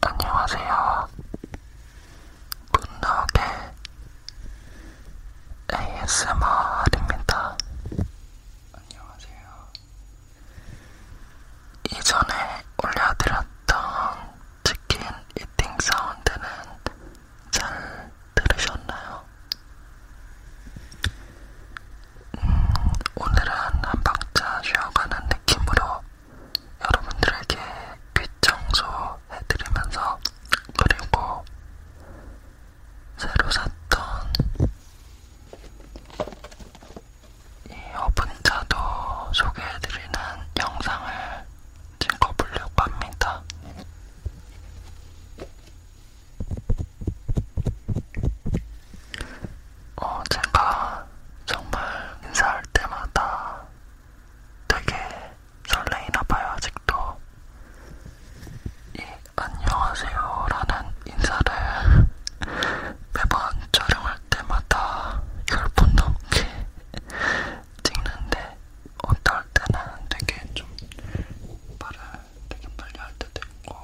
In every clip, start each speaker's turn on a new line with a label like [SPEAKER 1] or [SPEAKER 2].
[SPEAKER 1] 안녕하세요. 문나게 ASMR입니다. 안녕하세요. 이전에 올려드렸던 치킨 이팅 사운드는 잘 들으셨나요? 음, 오늘은 한 박자 쉬어가는 느낌으로 여러분들에게 빛 청소해드리면서 그리고 새로 샀던 이 어분차도 소개해드리는 영상을 찍어보려고 합니다. 어, 제가 정말 인사할 때마다 되게 설레이나 봐요, 아직도. 이 안녕하세요라는 인사를 매번 촬영할 때마다 열분 넘게 찍는데 어떨 때는 되게 좀 말을 되게 빨리 할 때도 있고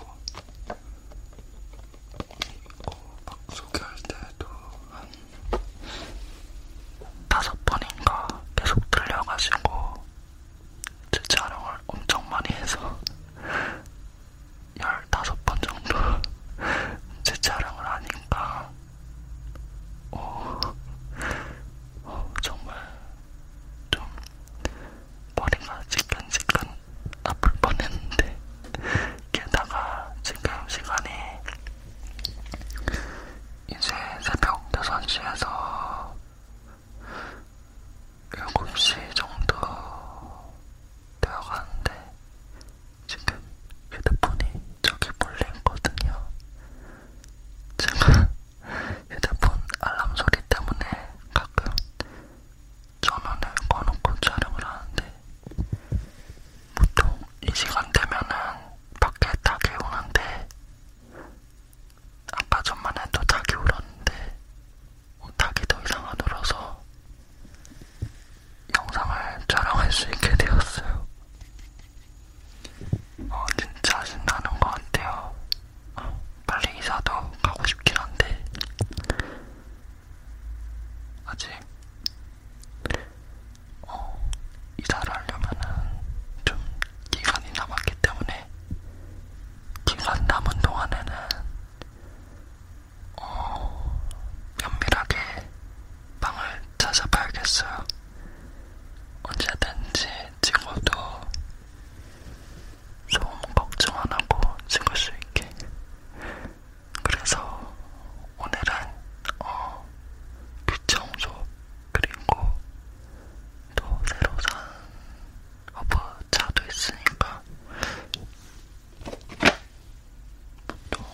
[SPEAKER 1] 그리고 어, 막 소개할 때도 한 다섯 번인가 계속 들려가지고 제 촬영을 엄청 많이 해서 열다섯 번 정도 제 촬영을 하니까 어, 어, 정말 좀 머리가 지끈지끈 아플 뻔했는데 게다가 지금 시간이 이제 새벽 6시에서 7시 정도 되어가는데 지금 휴대폰이 저기 몰래 있거든요. 제가 휴대폰 알람 소리 때문에 가끔 전원을 꺼놓고 촬영을 하는데 보통 이 시간 되면은 밖에 닭이 오는데 아까 전만 해도 닭이 울었는데 뭐 닭이 더 이상 안 울어서 영상을 촬영할 수 있게 되었어요. 어, 진짜 신나는 것 같아요. 어, 빨리 이사도 가고 싶긴 한데 아직 어, 이사를 하려면은 좀 기간이 남았기 때문에 기간 남은 동안에는 어, 면밀하게 방을 찾아봐야겠어요. 언제든지 친구도 소음 걱정 안 하고 찍을 수 있게 그래서 오늘은 어, 귀청소 그리고 또 새로 산 허브차도 있으니까 보통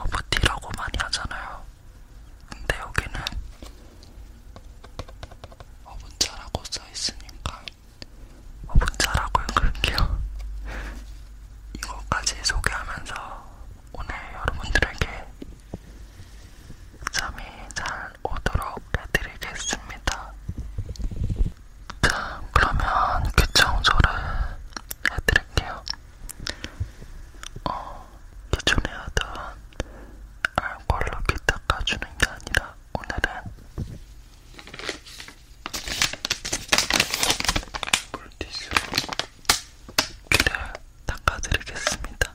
[SPEAKER 1] 허브티라고 많이 하잖아요. 근데 여기는 허브차라고 써있으니까 허브차라고 읽을게요. 이것까지 소개하면서 오늘 여러분들에게 잠이 잘 오도록 해드리겠습니다. 자, 그러면 귀청소를 해드릴게요. 어, 기존에 하던 알콜로 귀 닦아주는 게 아니라 오늘은 물티슈로 귀를 닦아드리겠습니다.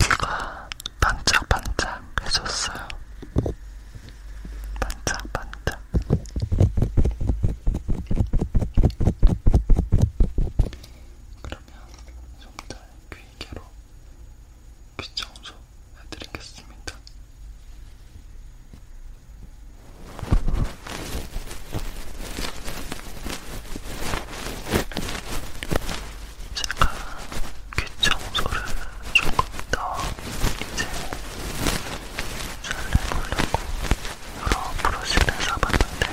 [SPEAKER 1] 귀가 반짝반짝 해졌어요. 반짝반짝. 그러면 좀 더 귀개로 귀 청소 해드리겠습니다. 제가 귀 청소를 조금 더 이제 잘 해보려고 여러 브러시를 사봤는데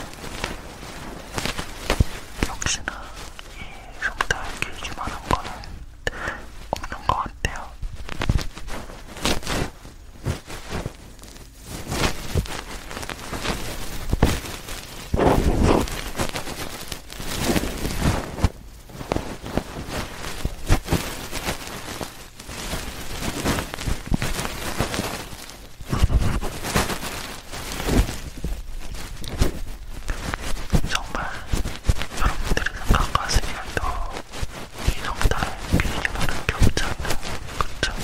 [SPEAKER 1] 역시나 이 속도를 길지만한 거는 없는 것 같아요. 정말 여러분들의 생각과 생각도 이성달의 비행기라는 게 없지 않나 그쵸? 그렇죠?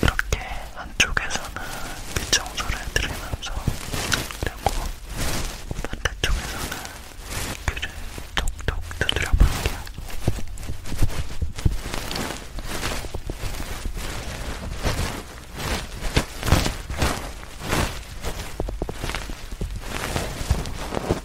[SPEAKER 1] 이렇게 한쪽에서는 빗청소를 들으면서 그리고 반대쪽에서는 귀를 톡톡 두드려 볼게요.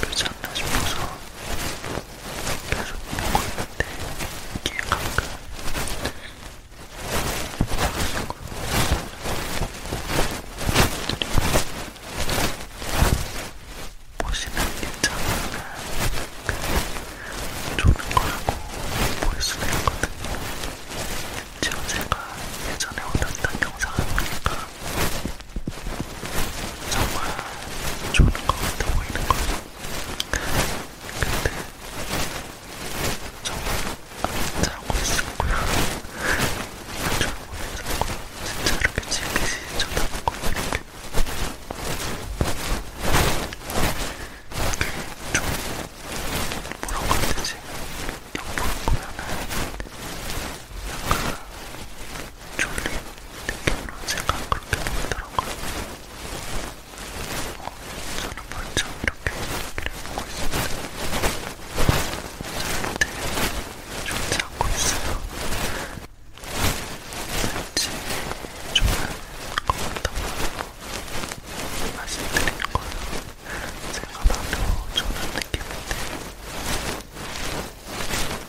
[SPEAKER 1] 비벼지 않나 싶어서 계속 보고 있는데 이게 가끔 보시는 입장에서는 좋은 거라고 볼 수는 있거든요. 지금 제가 예전에 올렸던 영상을 보니까 정말 좋은 것 같아 보이는 거죠. 근데 정말 안 자고 있었고요. 안잘 못했었고요. 진짜 이렇게 질기시 쳐다보고 이렇게. 이게 좀 뭐라고 해야 되지? 옆으로 보면은 약간 졸린 느낌으로 제가 그렇게 보이더라고요. 어, 저는 먼저 이렇게 얘기를 보고 있습니다. 저한테 좋지 않고 있어요. 왠지 좋아하는 것같다고 말씀드린 거예요. 제가 봐도 좋은 느낌인데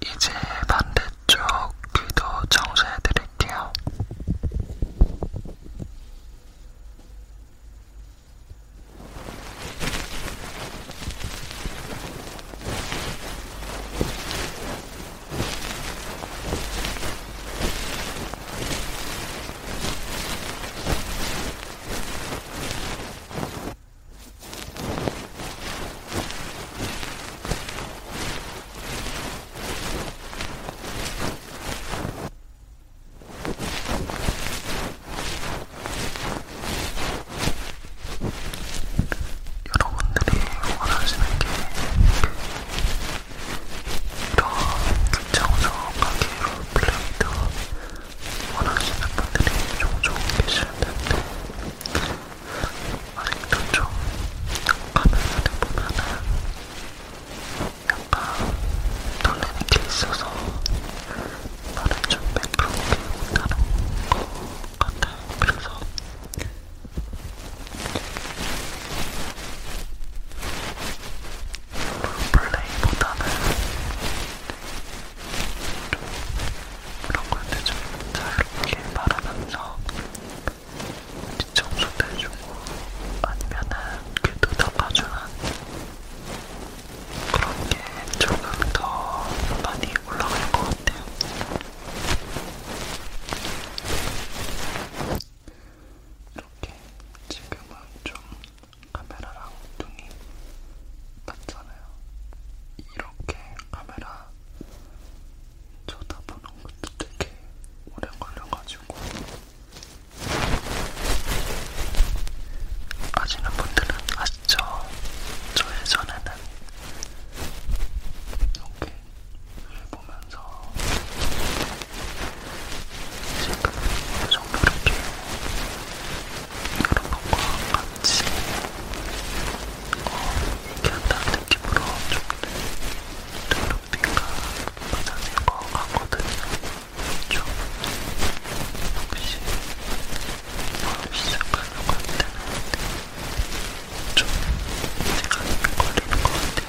[SPEAKER 1] 이제 반대쪽 귀도 정수해 드릴게요. 여러분들이 원하시는 게 이런 극장석 가게로 플레이드 원하시는 분들이 종종 계실 텐데 아직도 좀 화면을 보면은 약간 놀리는 게 있어서 말을 좀 베풀지 못하는 것 같아요. 그래서 플레이보다는 그런 건데 좀 자유롭게 말하면서 뒤청소도 해주고 아니면은 귀도 닦아주는 그런 게 조금 더 많이 올라갈 것 같아요. 이렇게 지금은 좀 카메라랑 눈이 맞잖아요. 이렇게 카메라 쳐다보는 것도 되게 오래 걸려가지고 아시는 분들은 아시죠? 저 예전에는 이렇게 술 보면서 지금 어느 그 정도 이렇게 그런 것과 같이 어, 얘기한다는 느낌으로 좀 눈높이가 맞아진 것 같거든요. 좀 혹시 처음 시작하려고 할 때는 좀 시간이 걸리는 것 같아요. 저는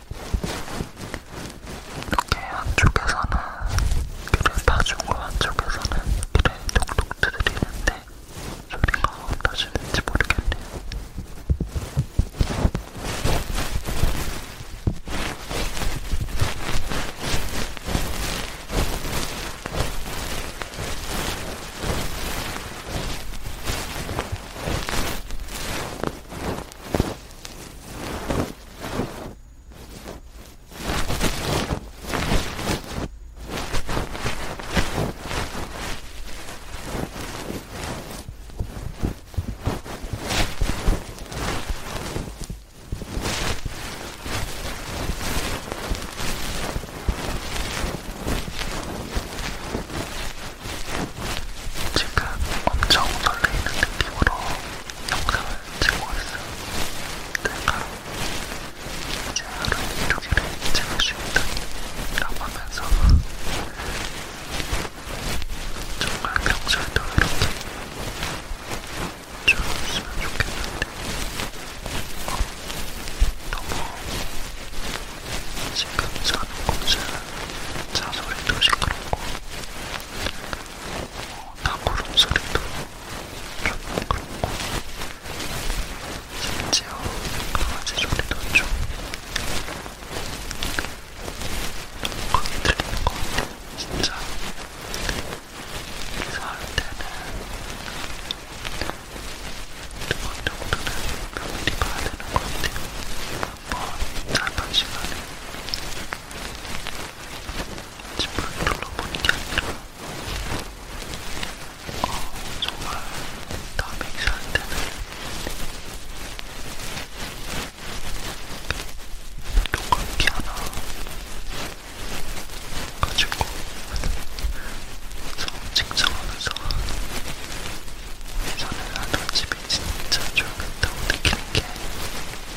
[SPEAKER 1] 이렇게 한쪽에서는 귀를 파주고 한쪽에서는 귀를 톡톡 두드리는데 소리가 어떠시는지 모르겠네요. 지금 엄청 설레이는 느낌으로 영상을 찍고 있어. 내가 이제 하루 이렇게를 찍을 수 있다라고 하면서 정말 평소에도 이렇게 좋았으면 좋겠는데 어, 너무 지금 사는 곳은 자소리도 시끄럽고 어, 닭구름 소리도 좀 그렇고 심지어 강아지 소리도 좀 크게 들리는 것 같아요. 진짜 이사할 때는 두번 정도는 면밀히 봐야 되는 것 같아요. 한번 짧은 시간에 지푸를 둘러보는 게 아니라 어, 정말 다음에 기사할 때는 녹음기 하나 가지고 저 직장하면서 예전에 나도 집이 진짜 좋겠다고 느끼는 게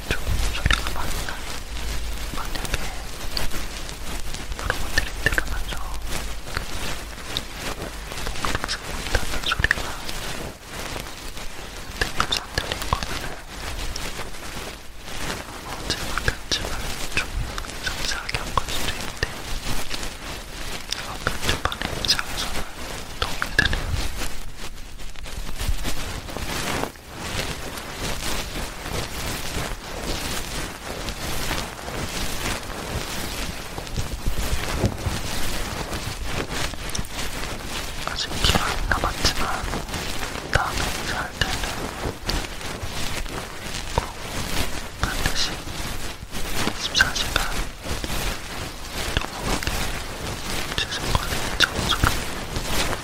[SPEAKER 1] 좀 소리가 많나? 만약에 여러분들이 들으면서 목소리가 못하는 소리가 댓글에서 안 들린 거면은 어제만큼지만 좀 상세하게 한걸 수도 있는데 아까 초반에 입장에서는 도움이 되네요. 아직 기간이 남았지만 다음에 살 때는 꼭 반드시 24시간 동안에 최선거리의 장소로 이거를 가르쳐줘 진짜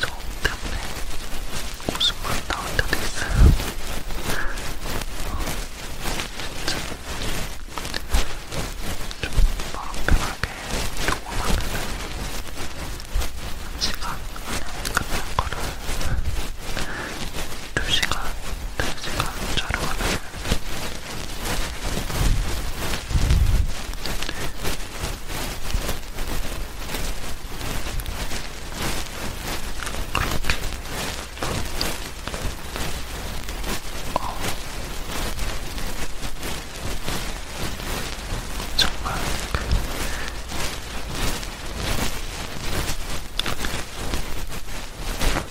[SPEAKER 1] 정말 저 때문에 웃음을 나올 때도 있어요 진짜 좀 마음 편하게 녹음하면 시간 안에 끝날 거를 2시간 제가 촬영하면서 어, 정말 그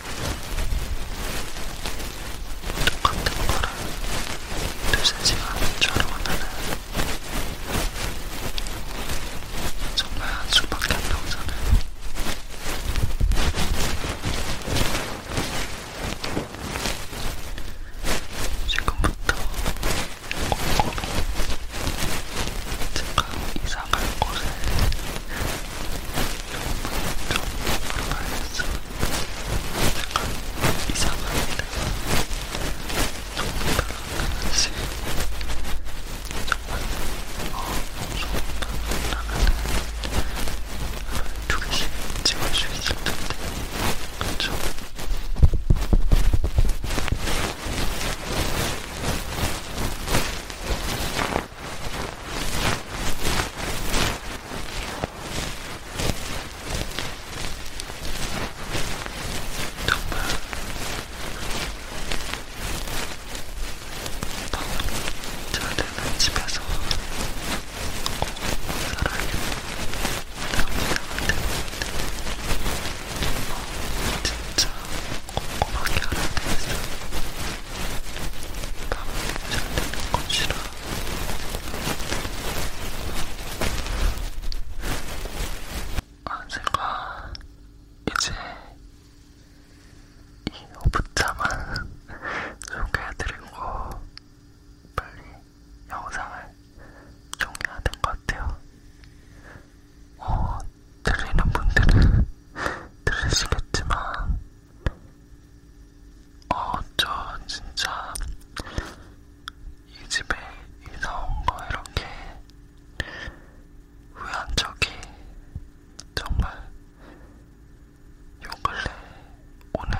[SPEAKER 1] 똑같은 거를 두세 시간 촬영하면은 정말 한 수밖에 안 나오잖아요. 지금부터 꼼꼼히 제가 이상할 곳에 정말 이상한 일은 정말 하나씩 정말 어무서운 하나는 두 개씩 찍을 수 있을 텐데 그쵸? 저는 집에서 살아요. 남자한테 진짜 꼼꼼하게 알아내서 남은 잘 되는 것이라 언젠가 이제 이 오붓자만 소개해드리고 빨리 영상을 종료하는 것 같아요. 어, 들리는 분들은 들으시겠지만, 어, 저 진짜 이 집에 이사온 거 이렇게 후회한 적이 정말 요 근래 오늘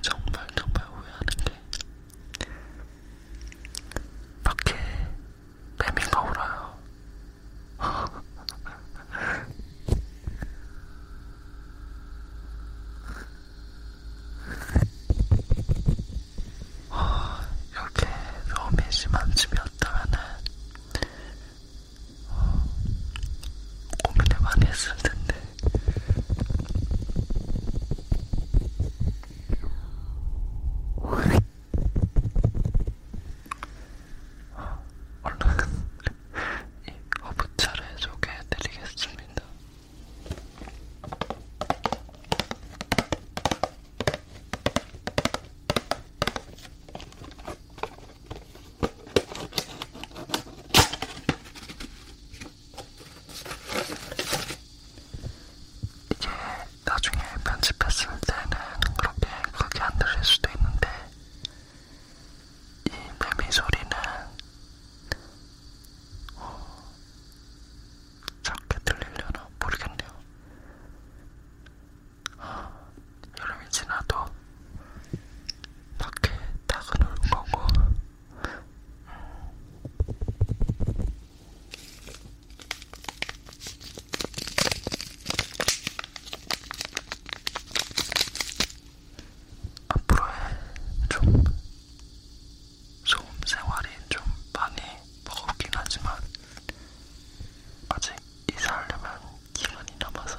[SPEAKER 1] 정말 정말 후회하는 게 밖에 매미가 울어요. 어, 여기 로미 심한 집이었다면은 어, 고민을 많이 했을 텐데. 어, 올라간 이 허브차를 소개해드리겠습니다. 이게 나중에 편집했을 때는 그렇게 크게 안 들릴 수도 있는데 이 매미 소리는 어, 작게 들리려나 모르겠네요. 아, 여름이 지나도 밖에 닭은 올 거고 음. 앞으로의 좀 소음 생활이 좀 많이 버겁긴 하지만 아직 이사하려면 기간이 남아서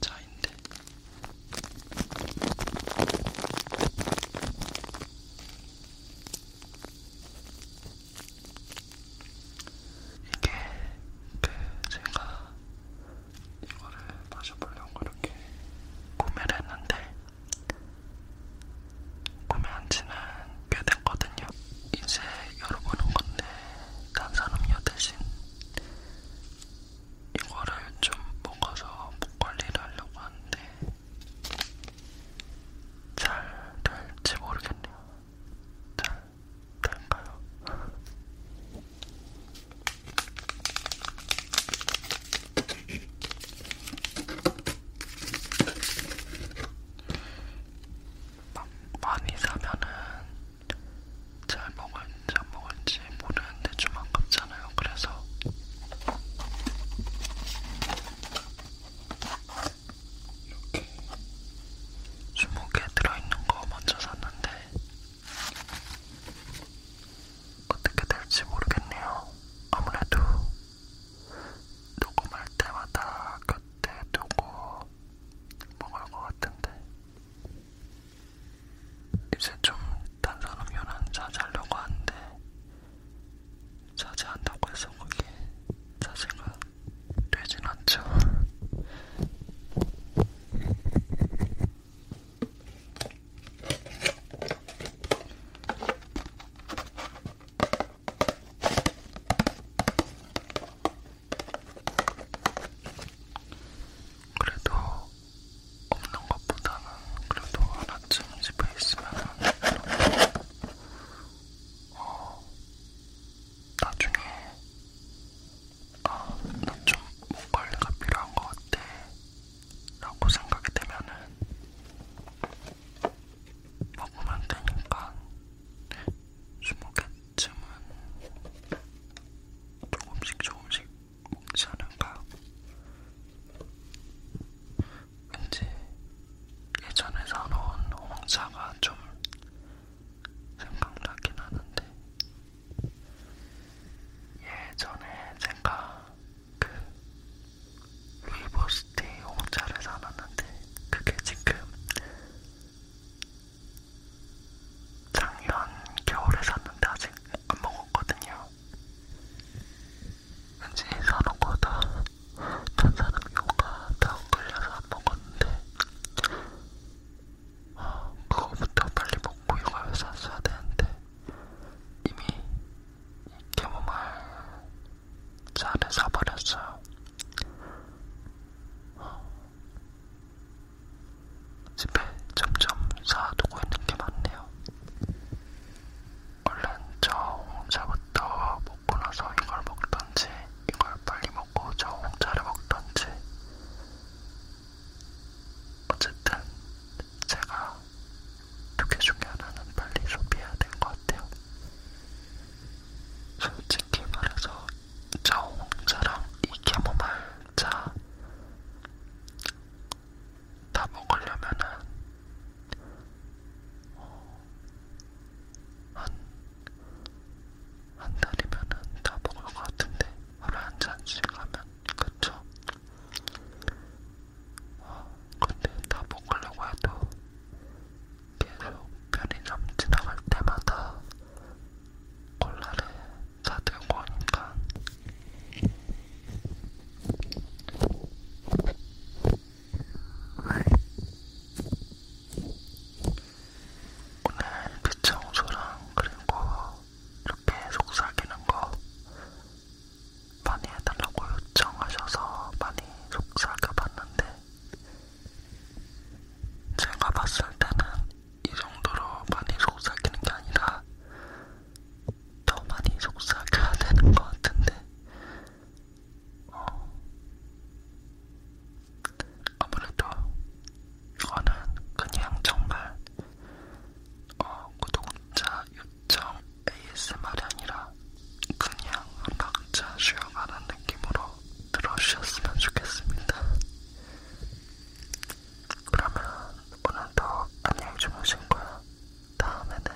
[SPEAKER 1] 차인데 이게 그 제가 이거를 마셔보려고 이렇게 구매를 했는데 구매한 지는 꽤 됐거든요. 이제 열어보는 건데 탄산음료 대신 이거를 좀 먹어서 목 관리를 하려고 하는데 잘 될지 모르겠네요. 잘 될까요? 많이 사면은 잘 먹을지 안 먹을지 모르는데 좀 아깝잖아요. 그래서 이렇게 20개 들어있는 거 먼저 샀는데 어떻게 될지 모르겠네요. 아무래도 녹음할 때마다 곁에 두고 먹을 것 같은데 이제 좀 탄산음료는 자제하려고 하는데 자제한다고 해서 그게 자제가 되진 않죠. 그래도 없는 것보다는 그래도 하나쯤 집에 있으면 어, 나중에 아, 나좀목 관리가 필요한 것 같아 라고 생각이 되면은 먹으면 되니까 20개쯤은 조금씩 조금씩 먹지 않을까? 왠지 예전에 사놓은 홍차가 좀 생각나긴 하는데 예전에 제가 그 루이보스티 홍차를 사놨는데 그게 지금 작년 겨울에 샀는데 아직 안 먹었거든요. 왠지 사놓고 다 탄산음료가 다 걸려서 안 먹었는데 어, 그거부터 빨리 먹고 이걸 샀어야 되는데 이미 캐모말 차를 사버렸어요. 어, 집에 점점 쌓아두고 있는 게 많네요. 얼른 저 홍차부터 먹고 나서 이걸 먹던지, 이걸 빨리 먹고 저 홍차를 먹던지. 어쨌든 제가 두개 중에 하나는 빨리 소비해야 될 것 같아요. 솔직히 말해서 저 홍차랑 이 캐모마일차 다 먹으려면은 어, 한, 한 달이면은 다 먹을 것 같은데 하루에 한 잔씩 하면 그쵸? 어, 근데 다 먹으려고 해도 계속 편의점 지나갈 때마다 콜라를 다 들고 오니까 오늘 빗청소랑 그리고 이렇게 속삭이는 거 많이 해달라고 요청하셔서 많이 속삭여봤는데 제가 봤을 때는 이 정도로 많이 속삭이는 게 아니라 더 많이 속삭여야 되는 것 같은데 어, 아무래도 이거는 그냥 정말 어, 구독자 요청 ASMR이 아니라 그냥 각자 쉬어가는 느낌으로 들어주셨으면 좋겠습니다. 그러면 오늘도 안녕히 주무신거야. 다음에는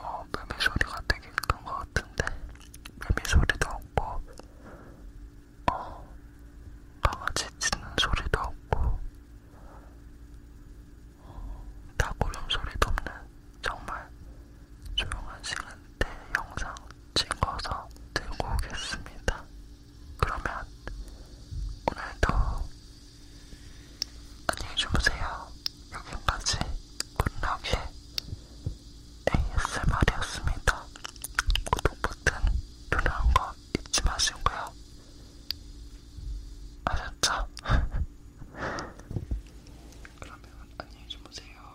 [SPEAKER 1] 어, 매미 소리가 되게 큰거 같은데 매미 소리도 없고 어, 강아지 짖는 소리도 없고 닭 어, 울음 소리도 없는 정말 조용한 시간대 영상 찍어서 들고 오겠습니다. 그러면 오늘도 안녕히 주무세요. 여기까지 굿나게 ASMR이었습니다. 구독 버튼 누르는 거 잊지 마시고요. 아셨죠? 그러면 안녕히 주무세요.